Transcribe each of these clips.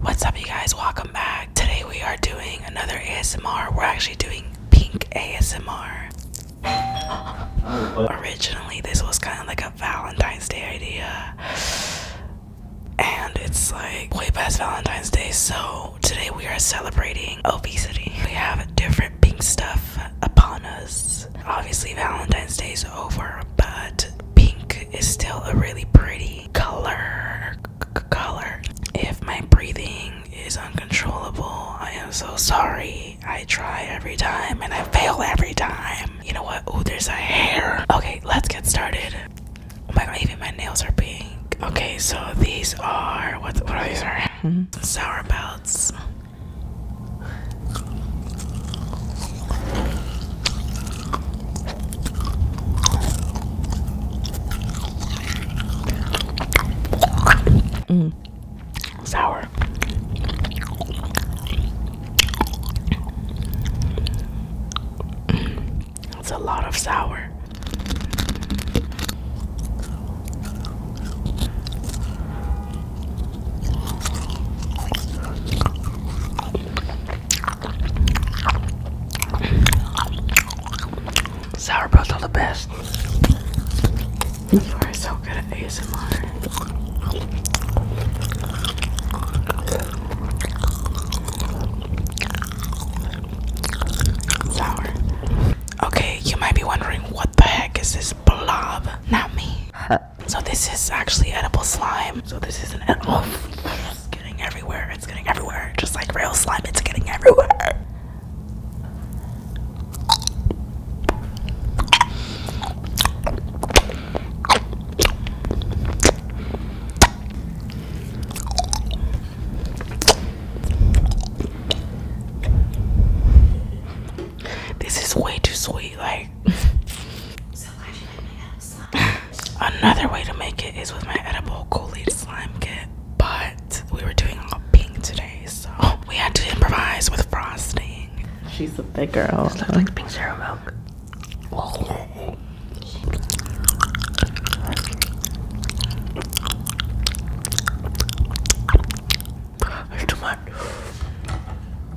What's up, you guys? Welcome back. Today we are doing another ASMR. We're actually doing pink ASMR. Originally, this was kind of like a Valentine's Day idea, and it's like way past Valentine's Day, so today we are celebrating obesity. We have a different pink stuff upon us. Obviously, Valentine's Day is over, but pink is still a really pretty color. Color. If my breathing is uncontrollable, I am so sorry. I try every time and I fail every time. You know what? Oh, there's a hair. Okay, let's get started. Oh my god, even my nails are pink. Okay, so these are what? What are these? Are mm-hmm. sour belts. Mm. Sour. That's a lot of sour. Sauerbrauts are the best. You are so good at ASMR. Sour. Okay, you might be wondering what the heck is this blob, not me. So this is actually edible slime. So this is an edible. It's getting everywhere. It's getting everywhere. Just like real slime, it's getting everywhere. This is way too sweet. Like, Another way to make it is with my edible Kool-Aid slime kit, but we were doing all pink today, so we had to improvise with frosting. She's a big girl. This looks like pink zero milk.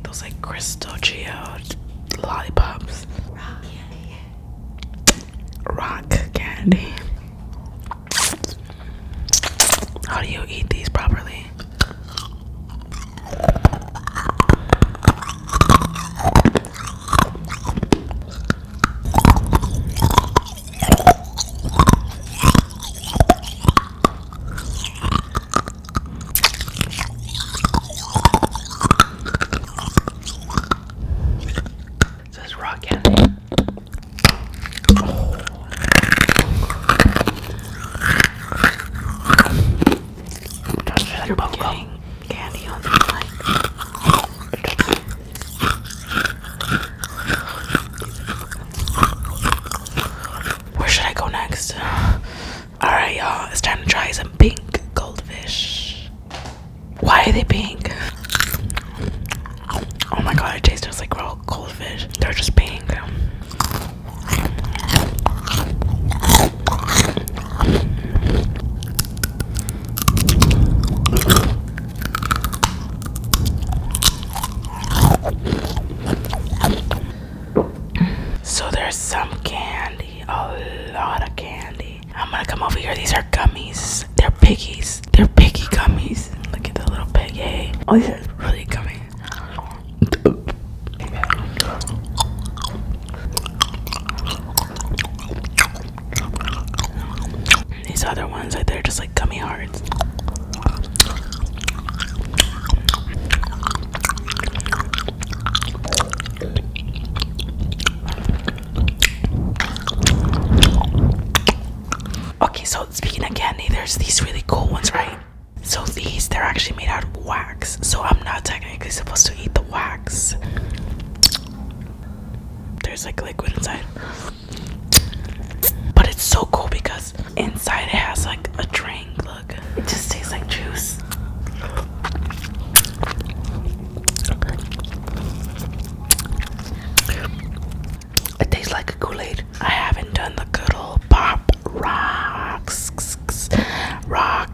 Those like crystal geo lollipops. Rock candy. Rock candy. How do you eat these properly? It says rock candy. Oh. Just like You're getting candy on the mic. Where should I go next? Alright, y'all, it's time to try some pink goldfish. Why are they pink? Oh my god, it tastes just like real goldfish. They're just pink. So there's some candy, a lot of candy. I'm gonna come over here. These are gummies. They're piggies. They're piggy gummies. Look at the little piggy. Oh, these are really gummy. These other ones, like there, just like like gummy hearts. Okay, so speaking of candy, there's these really cool ones, right? So these, they're actually made out of wax. So I'm not technically supposed to eat the wax. There's like liquid inside. But it's so cool because inside it has like a drink. Look, it just tastes like juice. It tastes like a Kool-Aid. I haven't done the Kool-Aid pop rocks. Rocks.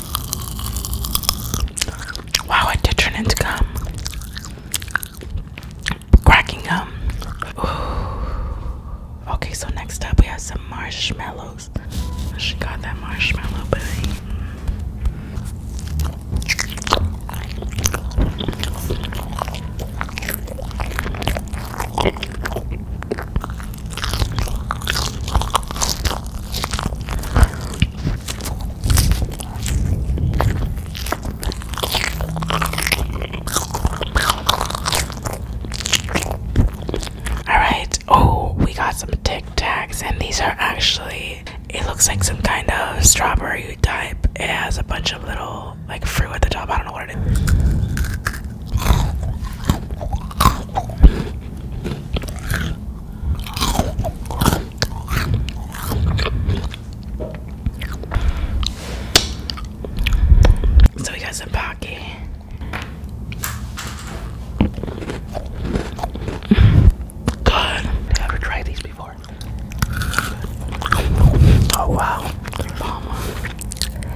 Wow, it did turn into gum. Cracking gum. Okay, so next up we have some marshmallows. She got that marshmallow baby. All right. Oh, we got some Tic Tacs, and these are actually. It looks like some kind of strawberry type. It has a bunch of little like fruit at the top. I don't know what it is. So we got some pocket. God, I've never tried these before. Oh wow, Obama.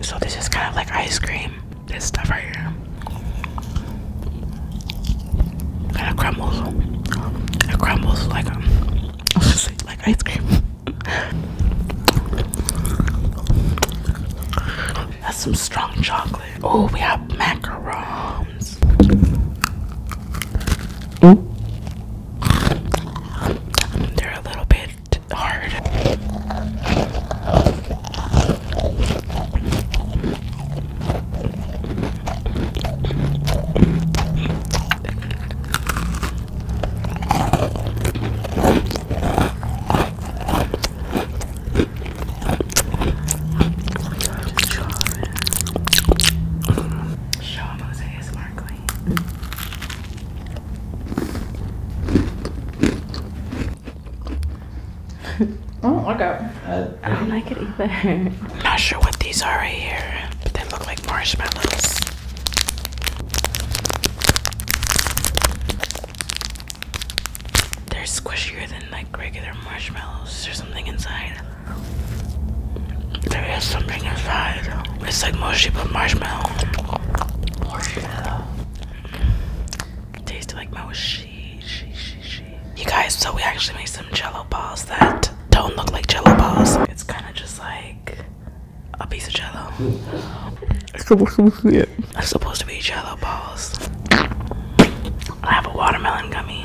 So this is kind of like ice cream. This stuff right here. Kind of crumbles. It crumbles like like ice cream. That's some strong chocolate. Oh, we have macarons. They're a little bit worked hard. Sean Mosaic Sparkling. Oh, I don't like it. I don't like it either. I'm not sure what these are right here, but they look like marshmallows. They're squishier than like regular marshmallows. There's something inside. There is something inside. It's like mushy but marshmallow. Marshmallow. Tastes like mochi. She, she, You guys, so we actually made some jello balls that don't look like jello balls. It's kind of just like a piece of jello. It's supposed to be jello balls. I have a watermelon gummy.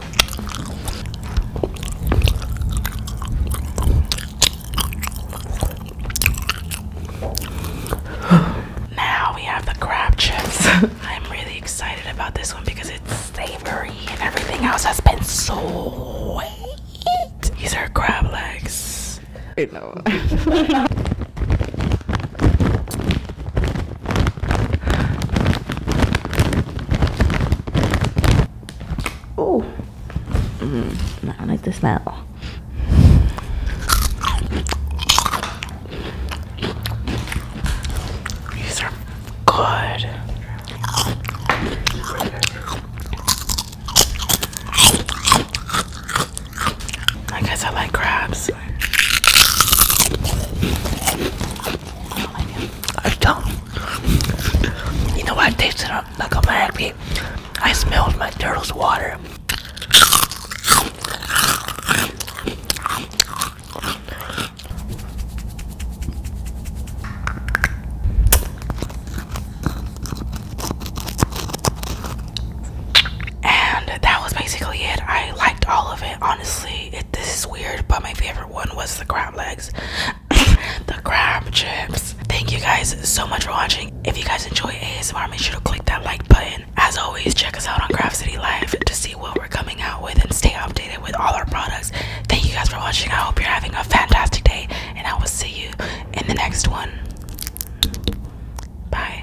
now we have the crab chips. I'm really excited about this one because it's savory and everything else has been so sweet. These are crab legs. You know. Oh, mm-hmm. I like the smell. These are good. I guess I like crabs. I don't. You know what? I tasted like a magnet. I smelled my turtle's water. And that was basically it. I liked all of it. Honestly, it, this is weird, but my favorite one was the crab legs. the crab chips. Thank you guys so much for watching. If you guys enjoy ASMR, make sure to click that like button. As always, check us out on Craft City Live to see what we're coming out with and stay updated with all our products. Thank you guys for watching. I hope you're having a fantastic day, and I will see you in the next one. Bye.